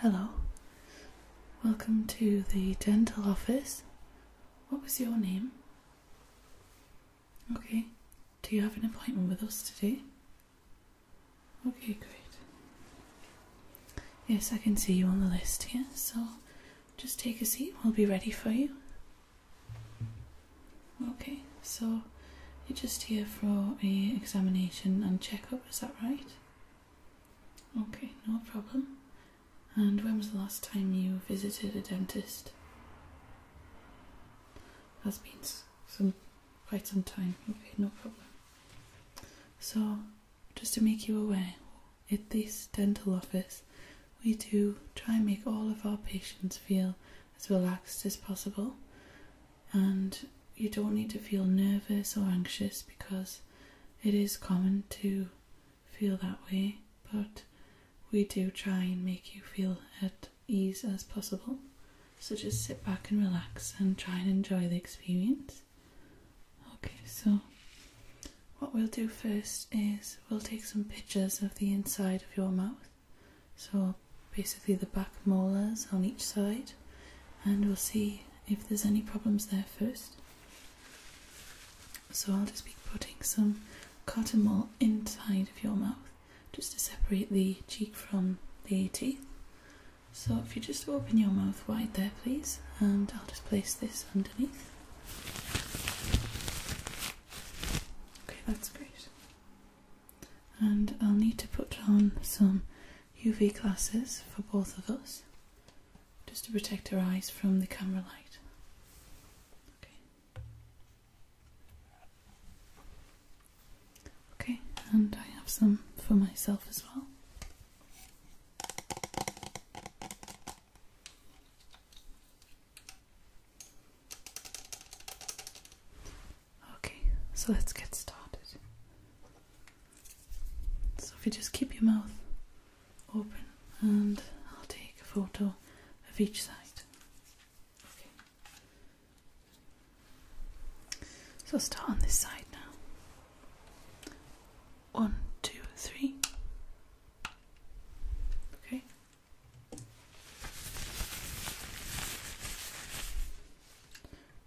Hello, welcome to the dental office. What was your name? Okay, do you have an appointment with us today? Okay, great. Yes, I can see you on the list here, so just take a seat, we'll be ready for you. Okay, so you're just here for a examination and checkup, is that right? Okay, no problem. And when was the last time you visited a dentist? That's been some quite some time. Okay, no problem. So, just to make you aware, at this dental office, we do try and make all of our patients feel as relaxed as possible and you don't need to feel nervous or anxious because it is common to feel that way, but we do try and make you feel at ease as possible. So just sit back and relax and try and enjoy the experience. Okay, so what we'll do first is we'll take some pictures of the inside of your mouth. So basically the back molars on each side and we'll see if there's any problems there first. So I'll just be putting some cotton wool inside of your mouth just to separate the cheek from the teeth. So if you just open your mouth wide there please and I'll just place this underneath. Okay, that's great and I'll need to put on some UV glasses for both of us just to protect our eyes from the camera light. Okay, okay and I have some for myself as well. Okay, so let's get started. So if you just keep your mouth open and I'll take a photo of each side. Okay. So I'll start on this side now. One, two, three. Okay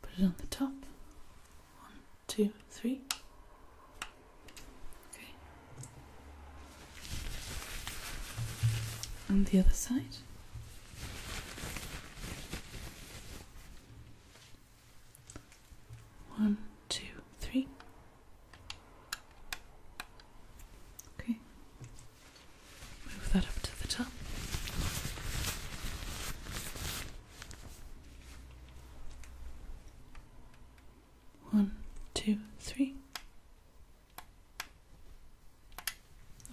put it on the top. One, two, three. Okay. And the other side. One, two, three. Okay. Move that up to the top. One, two, three.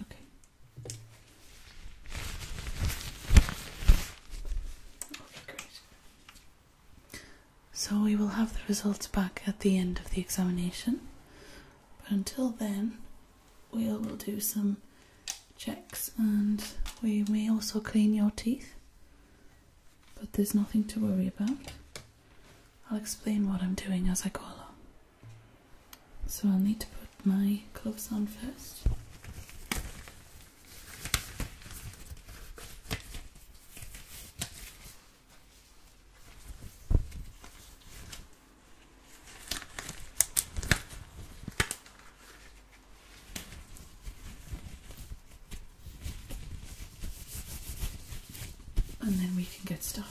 Okay. Okay, great. So we will have the results back at the end of the examination. But until then, we will do some checks and we may also clean your teeth. But there's nothing to worry about. I'll explain what I'm doing as I go along. So I'll need to put my gloves on first. And then we can get started.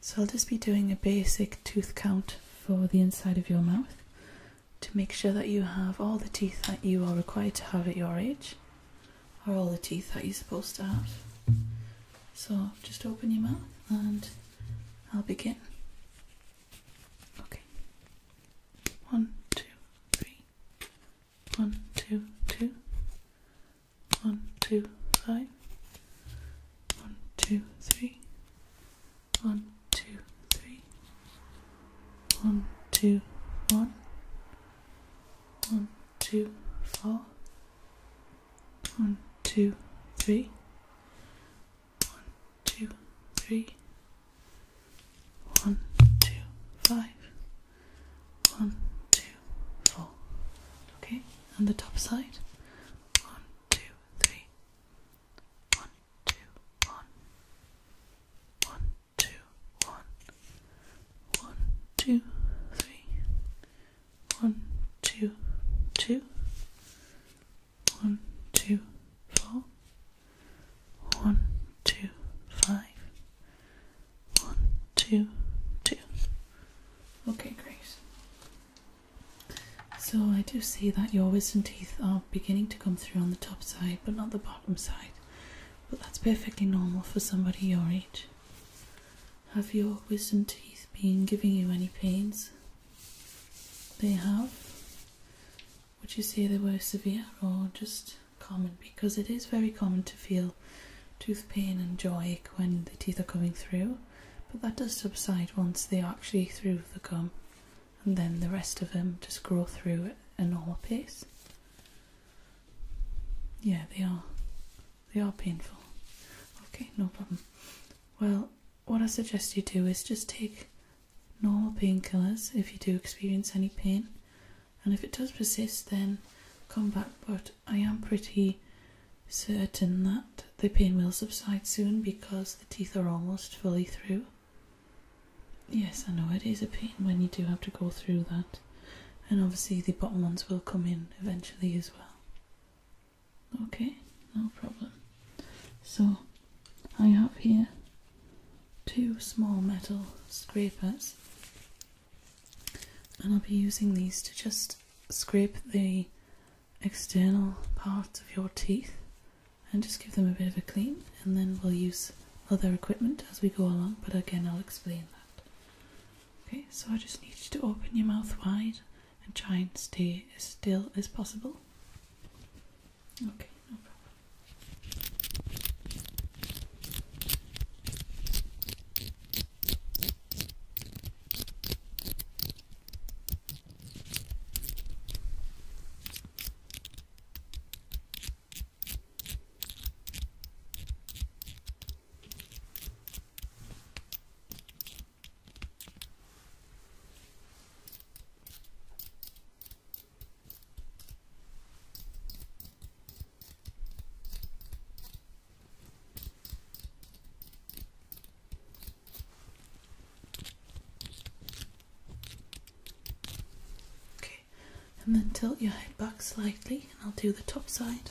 So I'll just be doing a basic tooth count for the inside of your mouth to make sure that you have all the teeth that you are required to have at your age, or all the teeth that you're supposed to have. So just open your mouth and I'll begin. Okay. One, two, three. One, two, two. One, two, five. One, two, three. One, two, three. One, two, one. One, two, four. One, two, three. One, two, three. One, two, five. One, two, four. Okay, and the top side. One, two, three. One, two, one. One, two, one. One, two, three. One, two, two. One, two, four. One, two, five. One, two, two. Okay, Grace. So I do see that your wisdom teeth are beginning to come through on the top side, but not the bottom side. But that's perfectly normal for somebody your age. Have your wisdom teeth been giving you any pains? They have. Would you say they were severe or just common? Because it is very common to feel tooth pain and jaw ache when the teeth are coming through, but that does subside once they are actually through the gum, and then the rest of them just grow through at a normal pace. Yeah, they are they are painful. Okay, no problem. Well, what I suggest you do is just take normal painkillers if you do experience any pain. And if it does persist, then come back. But I am pretty certain that the pain will subside soon because the teeth are almost fully through. Yes, I know it is a pain when you do have to go through that. And obviously, the bottom ones will come in eventually as well. Okay, no problem. So I have here two small metal scrapers and I'll be using these to just scrape the external parts of your teeth and just give them a bit of a clean and then we'll use other equipment as we go along but again I'll explain that. Okay, so I just need you to open your mouth wide and try and stay as still as possible. Okay, no problem. Okay, and then tilt your head back slightly, and I'll do the top side.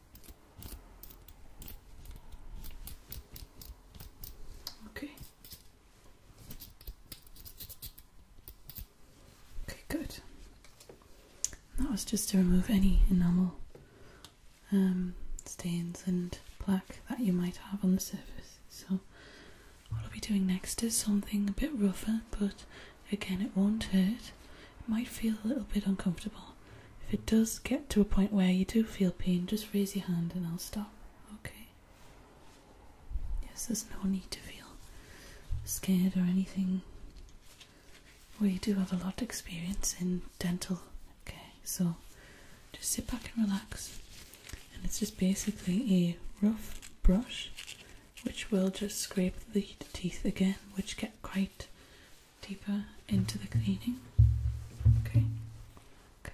Okay. Okay, good. That was just to remove any enamel um, stains and plaque that you might have on the surface. So, what I'll be doing next is something a bit rougher, but again, it won't hurt. It might feel a little bit uncomfortable. If it does get to a point where you do feel pain, just raise your hand and I'll stop, okay? Yes, there's no need to feel scared or anything. We do have a lot of experience in dental, okay? So just sit back and relax. And it's just basically a rough brush which will just scrape the teeth again, which get quite deeper into the cleaning. Okay. Okay.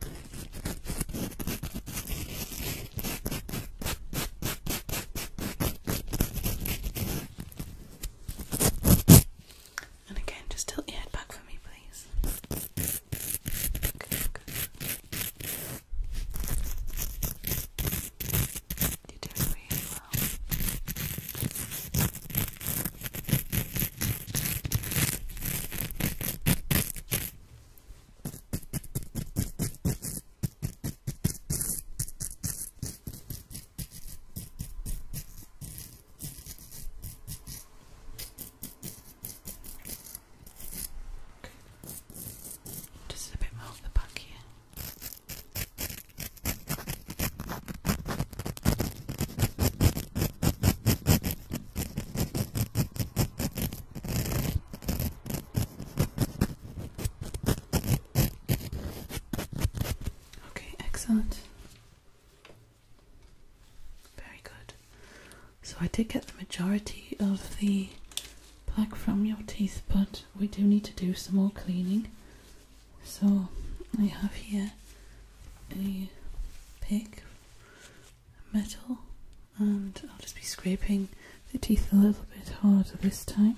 And again, just tilt your head back for me, please. You're really well. Just a bit more of the back here. Okay, excellent. Very good. So I did get the majority of the plaque from your teeth, but we do need to do some more cleaning. So I have here a pick metal and I'll just be scraping the teeth a little bit harder this time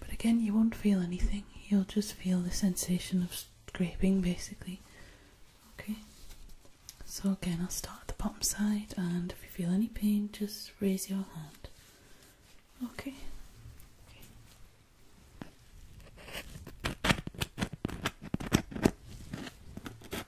but again you won't feel anything you'll just feel the sensation of scraping basically okay so again I'll start at the bottom side and if you feel any pain just raise your hand okay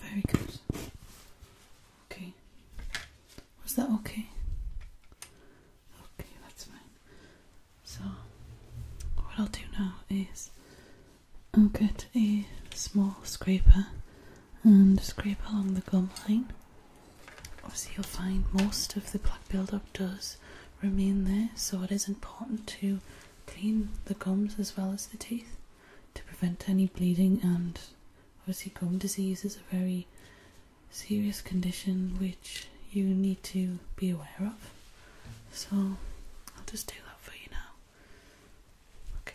Very good. Okay. Was that okay? Okay, that's fine. So, what I'll do now is I'll get a small scraper and scrape along the gum line. Obviously, you'll find most of the plaque buildup does remain there, so it is important to clean the gums as well as the teeth to prevent any bleeding and obviously gum disease is a very serious condition which you need to be aware of. So I'll just do that for you now. Okay.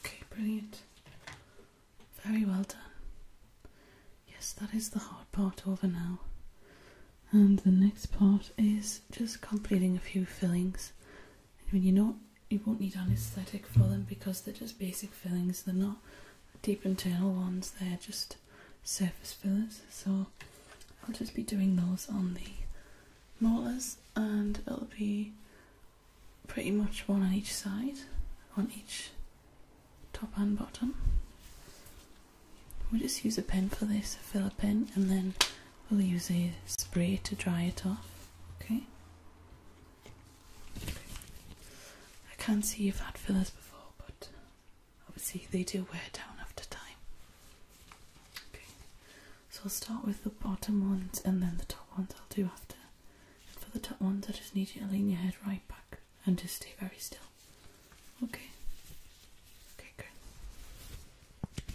Okay, brilliant. Very well done. Yes, that is the hard part over now. And the next part is just completing a few fillings. And when you're not you won't need anesthetic for them because they're just basic fillings. They're not deep internal ones. They're just surface fillers. So I'll just be doing those on the molars, and it'll be pretty much one on each side, on each top and bottom. We'll just use a pen for this, a filler pen, and then we'll use a spray to dry it off. Okay. I can't see you've had fillers before, but obviously they do wear down after time. Okay, so I'll start with the bottom ones and then the top ones I'll do after. for the top ones, I just need you to lean your head right back and just stay very still. Okay. Okay, good.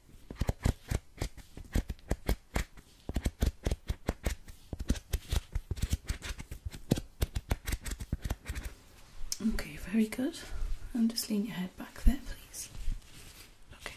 Okay, very good. And just lean your head back there, please. Okay.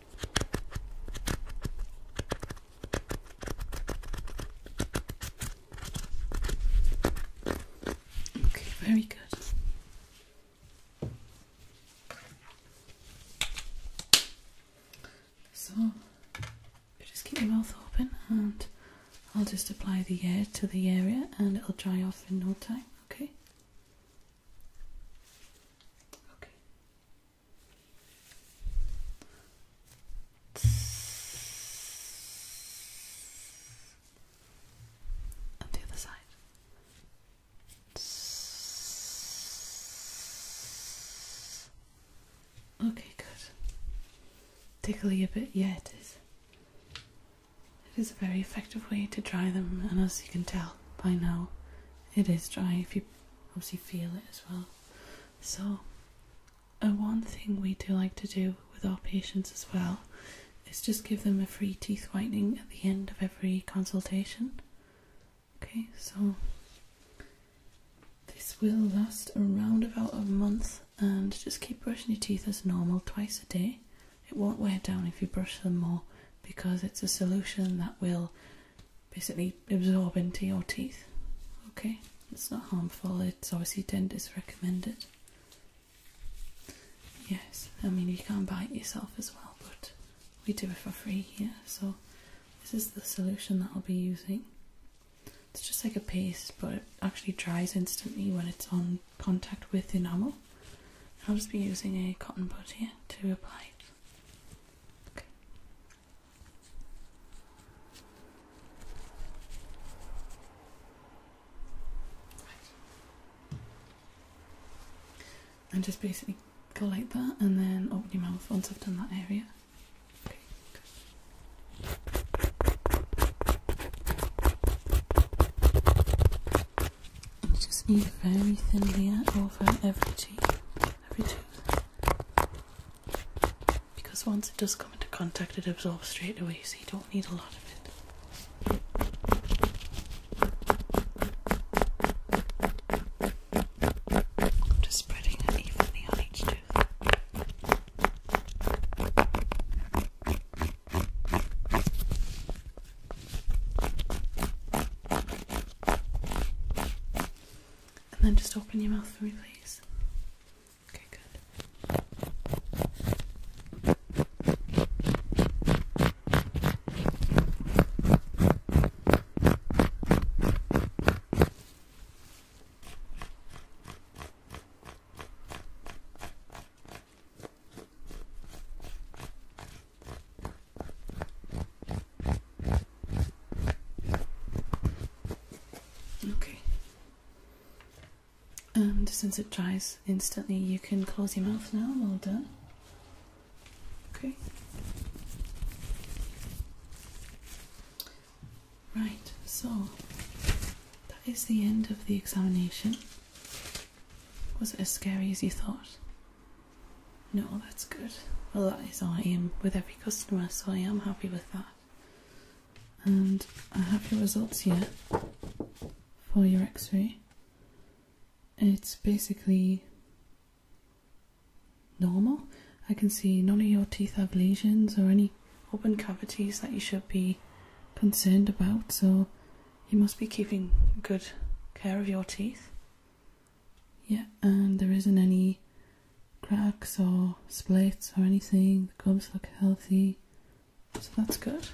Okay, very good. So, just keep your mouth open and I'll just apply the air to the area and it'll dry off in no time, okay? Okay the other side. Okay, good. Tickly a bit, yeah, it is. It is a very effective way to dry them, and as you can tell by now, it is dry if you obviously feel it as well. So, uh, one thing we do like to do with our patients as well is just give them a free teeth whitening at the end of every consultation. Okay, so this will last around about a month and just keep brushing your teeth as normal twice a day. It won't wear down if you brush them more because it's a solution that will basically absorb into your teeth. Okay, it's not harmful, it's obviously dentist recommended. Yes, I mean, you can buy it yourself as well, but we do it for free here, so this is the solution that I'll be using. It's just like a paste, but it actually dries instantly when it's on contact with enamel. I'll just be using a cotton bud here to apply it. And just basically go like that and then open your mouth once I've done that area. Okay, good. And just move very thinly over every tooth everything. Because once it does come into contact, it absorbs straight away, so you don't need a lot of it. I'm just spreading it evenly on each tooth. And then just open your mouth for me, please. Okay, good. Okay. And since it dries instantly, you can close your mouth now. All done. Okay. Right, so that is the end of the examination. Was it as scary as you thought? No, that's good. Well, that is our aim with every customer, so I am happy with that. And I have your results here for your x ray. It's basically normal. I can see none of your teeth have lesions or any open cavities that you should be concerned about, so you must be keeping good care of your teeth yeah, and there isn't any cracks or splits or anything. The gums look healthy, so that's good.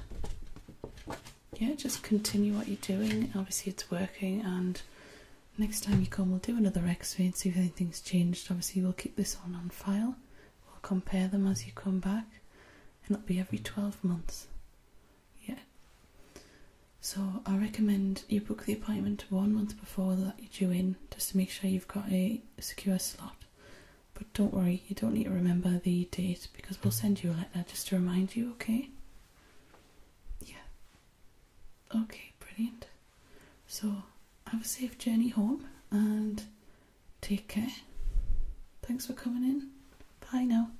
Yeah, just continue what you're doing. Obviously, it's working, and next time you come, we'll do another x ray and see if anything's changed. Obviously, we'll keep this on on file, we'll compare them as you come back, and it'll be every 12 months. Yeah, so I recommend you book the appointment one month before that you're due in, just to make sure you've got a secure slot. But don't worry, you don't need to remember the date because we'll send you a letter just to remind you, okay? Yeah. Okay, brilliant. So have a safe journey home and take care. Thanks for coming in. Bye now.